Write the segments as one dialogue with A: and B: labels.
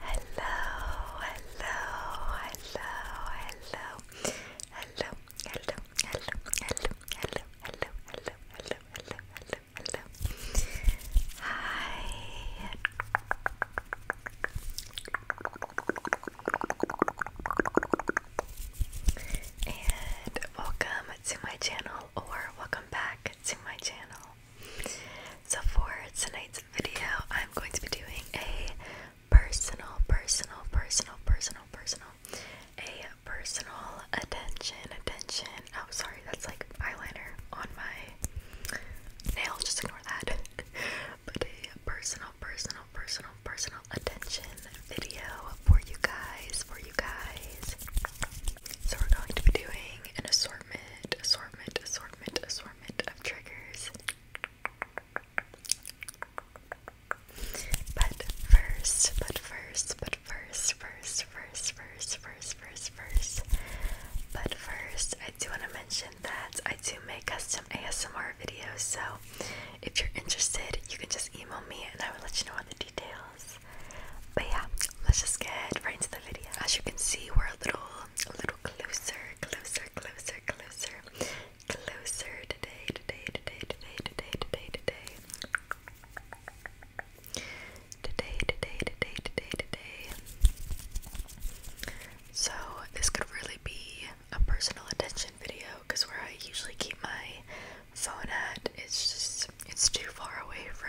A: hello, hello, hello, hello, hello, hello, hello, hello, hello, hello, hello, hello, hello, Hi. And welcome to my channel or welcome back to my channel. So for tonight's video, I'm going to be doing a personal, personal, personal, personal, personal, a personal attention, attention. Oh, sorry, that's like eyeliner on my nail. Just ignore that. but a personal, personal, personal, personal attention video for you guys, for you guys. So we're going to be doing an assortment, assortment assortment, assortment, assortment of triggers. But first, but first, but first, first, first, first, first, first, first. But first, I do want to mention that I do make custom ASMR videos, so if you're interested, you can just email me and I will let you know all the details. But yeah, let's just get right to the video. As you can see, we're a little, a little closer, closer, closer, closer, closer today, today, today, today, today, today, today. Today, today, today, today, today. So this could really be a personal attention video because where I usually keep my phone at, it's just it's too far away from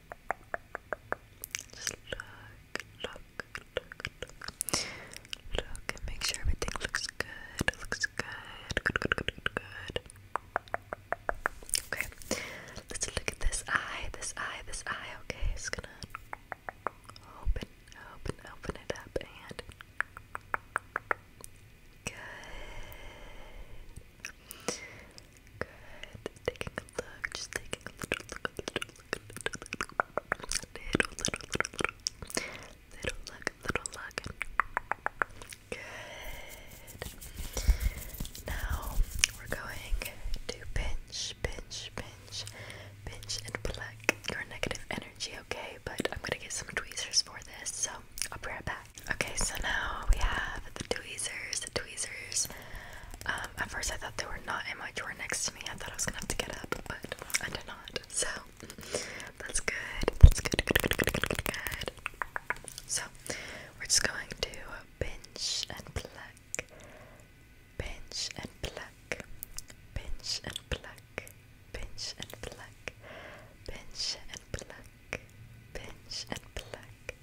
A: Just look, look, look, look, look, and make sure everything looks good. Looks good. Good, good, good, good, Okay, let's look at this eye, this eye, this eye. Okay, it's gonna open, open, open it up, and good. Good. Taking a look, just taking a little look, little look, little look, little, little, little, little, little look, little look. Good. Now we're going to pinch, pinch, pinch, pinch, and pluck your negative energy. Okay, but I'm gonna get some tweezers for this, so I'll be right back. Okay, so now we have the tweezers. The tweezers. Um, at first I thought they were not in my drawer next to me. I thought I was gonna have to get up, but I did not. So that's good. That's good. Good. Good. Good. Good. Good. good. So we're just going to pinch and pluck, pinch and pluck, pinch and pluck, pinch and pluck, pinch and pluck pinch and pluck,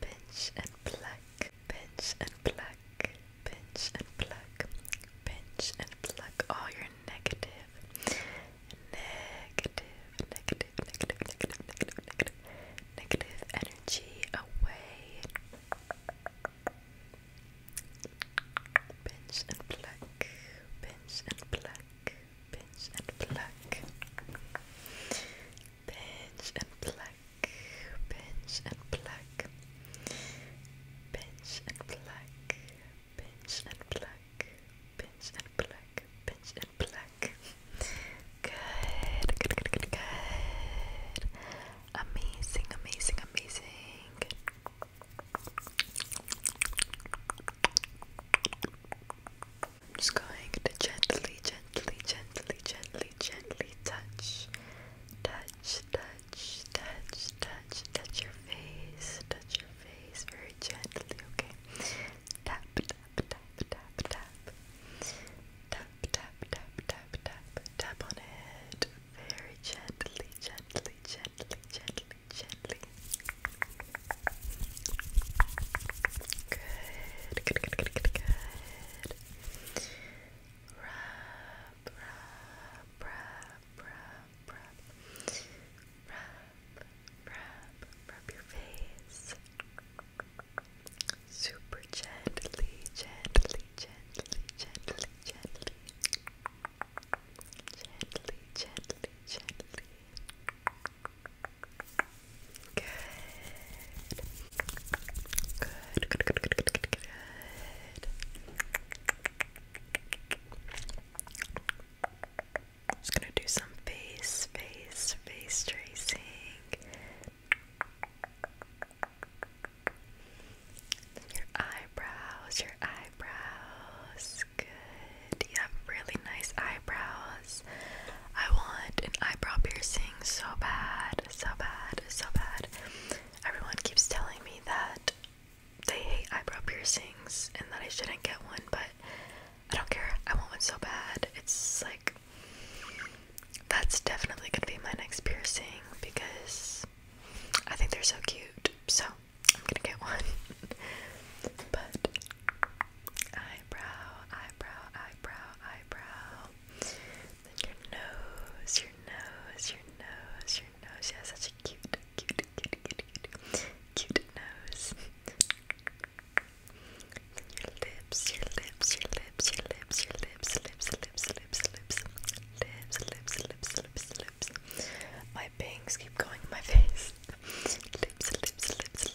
A: pinch and pluck, pinch and pluck, pinch and pluck, pinch and pluck all your negative, negative, negative, negative, negative, negative, negative, negative energy away. Pinch and pluck, pinch and pluck, pinch and pluck, pinch and pluck, pinch and pluck, pinch and pluck, pinch and pluck, pinch and pluck, pinch and pluck. Good, good, good, good, good. Amazing, amazing, amazing. Good. I'm just going to gently, gently, gently, gently, gently touch, touch, touch, touch, touch, touch your face, touch your face very gently, okay? Tap, tap, tap, tap, tap. Tap, tap, tap, tap, tap, tap on it. Very gently, gently, gently, gently, gently. Good, good, good, good, good, Rub, rub, rub, rub, rub. Rub, rub, rub your face. Super gently, gently, gently, gently, gently. Gently, gently, gently. Good. Good, good, good, good, good, good, Just gonna do some face, face, face tracing. your eyebrows, your eyebrows. Good. You really nice eyebrows. I want an eyebrow piercing so bad, so bad, so bad. Everyone keeps telling me that they hate eyebrow piercings and that I shouldn't get one, but I don't care. I want one so bad. It's like that's definitely gonna be my next piercing because I think they're so cute. So I'm gonna get one. but eyebrow, eyebrow, eyebrow, eyebrow. Then your nose, your nose, your nose, your nose. You have such a cute, cute, cute, cute, cute, nose. Then your lips, your lips, your lips, your lips, your lips, lips, lips, lips, lips, lips, lips, lips, lips, lips. My pings keep going in my face. Lips, lips, lips,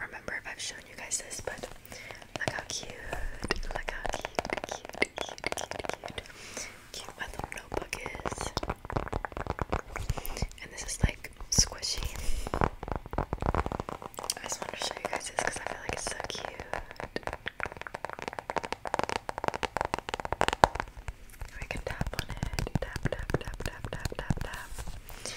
A: remember if I've shown you guys this, but look how cute. Look how cute, cute, cute, cute, cute. Cute my little notebook is. And this is like squishy. I just wanted to show you guys this because I feel like it's so cute. We can tap on it. Tap, tap, tap, tap, tap, tap, tap.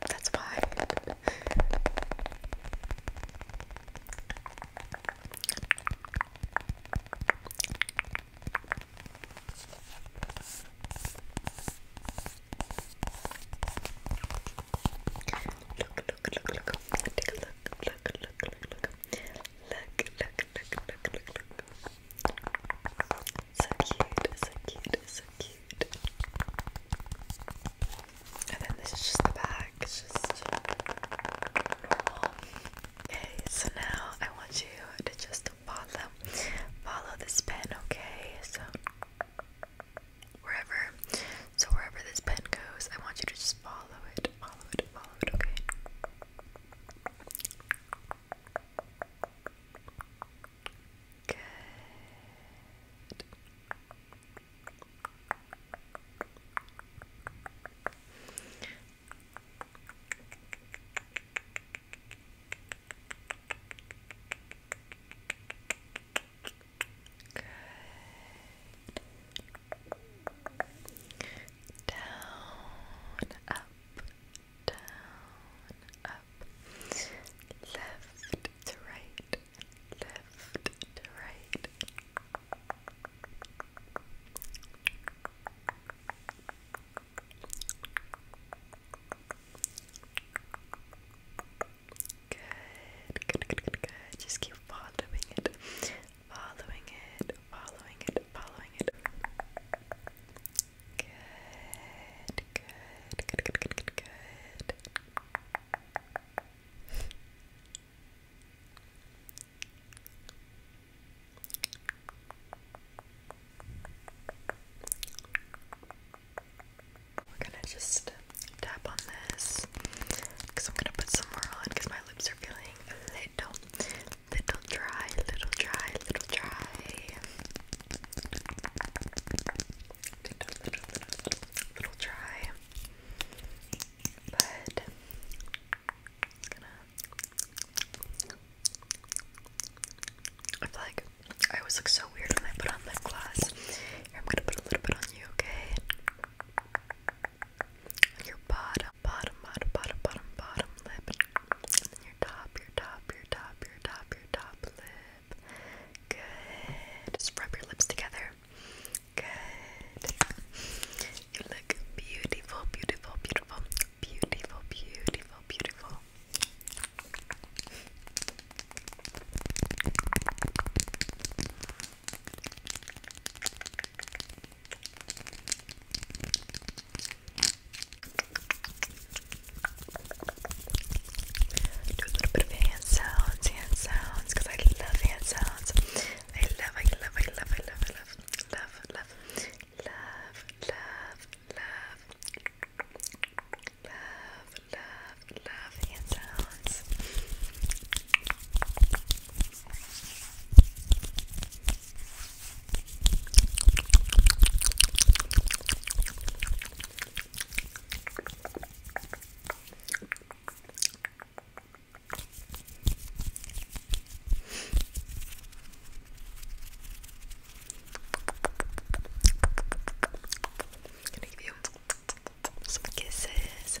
A: that's why. Look, look, look, look. Take a look, look, look, look, look. Look, look, look, look, look, look. So cute, so cute, so cute. And then this is just the back, it's just normal. Okay, so now I want you to just follow, follow this pen, okay? So wherever, so wherever this pen goes, I want you to just follow it, follow it, follow it, okay? Good. Good. Down, up, down, up, up, left to right, left to right. Good, good, good, good, good. Just keep following it, following it, following it, following it. Good, good. We're gonna just tap on this because I'm gonna put some more on because my lips are feeling a little, little dry, little dry, little dry little, little, dry, but I feel like I always look so weird when I put on lip gloss. I'm gonna put a little bit on you, okay? Your bottom, bottom, bottom, bottom, bottom, bottom lip, your top, your top, your top, your top, your top lip. Good. Just rub your lips together. Good. You look beautiful, beautiful, beautiful, beautiful, beautiful, beautiful do a little bit of hand sounds, hand sounds, I love hand sounds. I love, I love, I love, I love, I love, love, love, love, love, love, love, love, hand sounds. Gonna give you some kisses.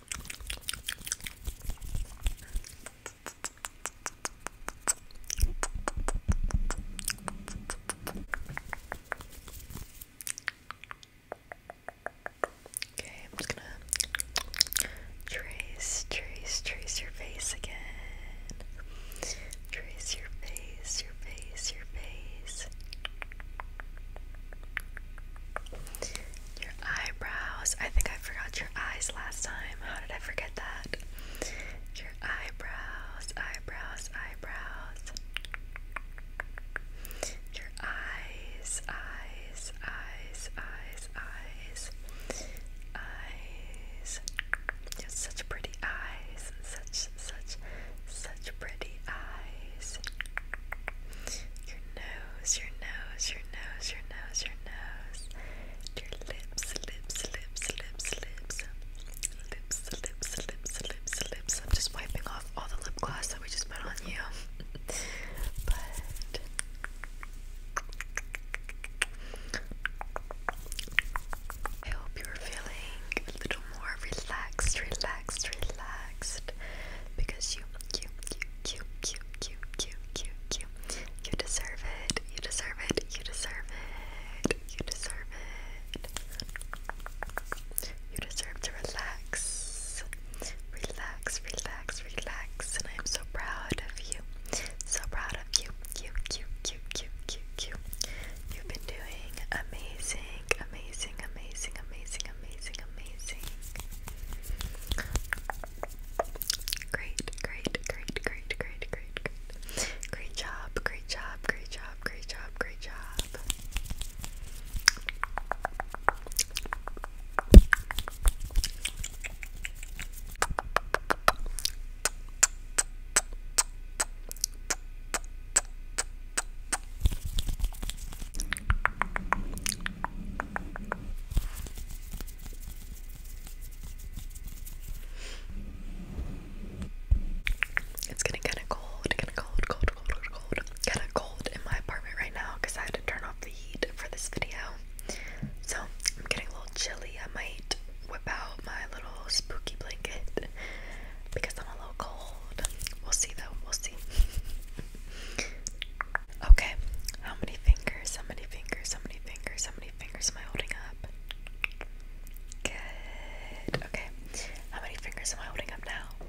A: Okay, I'm just gonna trace, trace, trace your face again. Trace your face, your face, your face. Your eyebrows. I think I forgot your eyes last time. How did I forget that? Your eyebrows, eyebrows, eyebrows. Your eyes, eyes, eyes, eyes, eyes. Eyes. You have such pretty eyes. Such, such, such pretty eyes. Your nose, your nose, your nose, your nose, your nose, your lips, lips, lips, lips, lips, lips, lips, lips, lips, lips. I'm just wiping off all the lip gloss that we just put on you. but I hope you're feeling a little more relaxed, relaxed, relaxed because you, you, you, you, you, you, you, you, you. You deserve it. You deserve it. You deserve it. You deserve it. You deserve to relax. Relax, relax, relax. And I am so proud of you. So proud of you. You, you, you, you, you, you. You've been doing amazing, amazing, amazing, amazing, amazing, amazing. Great, great, great, great, great, great, great. job, great job, great job, great job, great job. It's getting kind of cold, kind of cold, cold, cold, cold, Kind of cold in my apartment right now because I had to turn off the heat for this video. So I'm getting a little chilly. I might whip out my little spooky blanket because I'm a little cold. We'll see though, we'll see. Okay, how many fingers? How many fingers? How many fingers? How many fingers am I holding up? Good. Okay, how many fingers am I holding up now?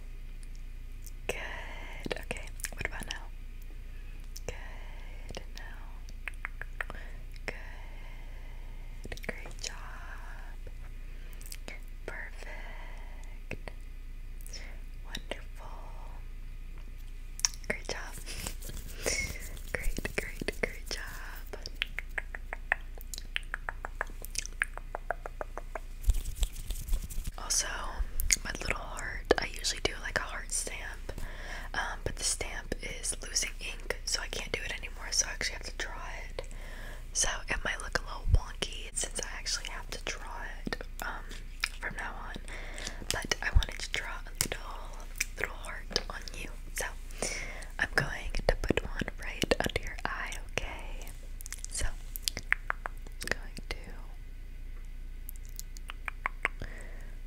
A: Good. Okay, what about now? Good. Now. Good. Great job. Perfect. Wonderful. Great job. great, great, great job. Also, my little heart, I usually do like a heart stamp, um, but the stamp is losing ink, so I can't do it anymore, so I actually have to draw it. So it might look a little wonky since I actually have to draw it. Um, from now on. But I wanted to draw a little little heart on you. So I'm going to put one right under your eye, okay? So I'm going to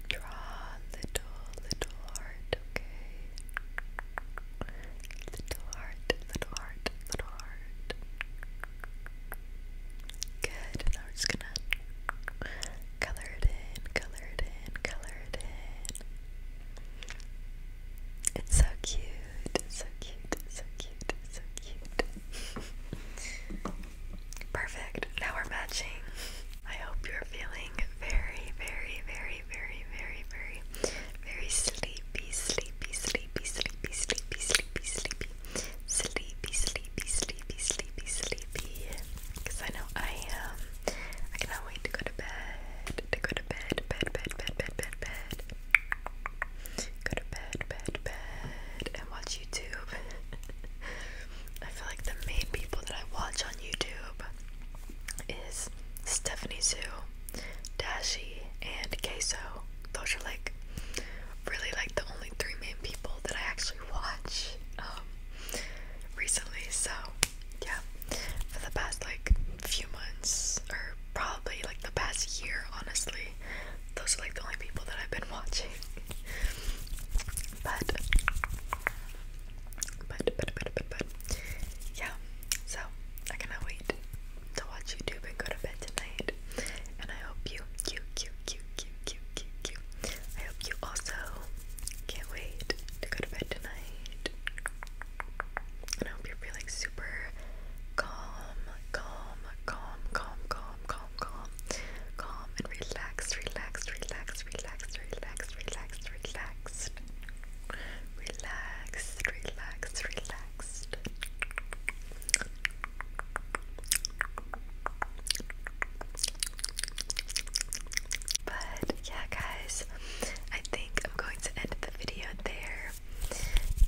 A: draw little little heart, okay? Little heart, little heart, little heart. Good. Now we're just gonna color it in, color it in, color it in. It's so cute, it's so cute, it's so cute, it's so cute. Perfect. Now we're matching. I hope you're feeling very, very, very, very, very, very, very sleepy, sleepy, sleepy, sleepy, sleepy, sleepy, sleepy, sleepy, sleepy, sleepy, sleepy, sleepy, sleepy. Because I know I Um, I cannot wait to go to bed. To go to bed, bed, bed, bed, bed, bed, bed. Go to bed, bed, bed, and watch YouTube. I feel like the main people that I watch on YouTube is Stephanie Sue, Dashi, and Queso. Those are like really like the only three main people that I actually watch um, recently. So yeah, for the past like few months or probably like the past year, honestly, those are like the only people that I've been watching. but, but, but, but, but, yeah. So I cannot wait to watch YouTube and go to bed tonight. And I hope you, you, you, you, cute, cute, cute, I hope you also can't wait to go to bed tonight. And I hope you're feeling super calm, calm, calm, calm, calm, calm, calm, calm, and relaxed, relaxed, relaxed, relaxed, relaxed, relaxed, relaxed. Relaxed, relaxed, relaxed. But yeah, guys, I think I'm going to end the video there.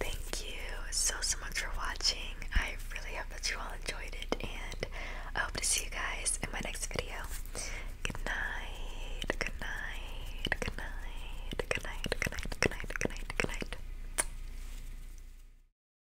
A: Thank you so, so much for watching. I really hope that you all enjoyed it, and I hope to see you guys in my next video. Good night, good night, good night, good night, good night, good night, good night, good night.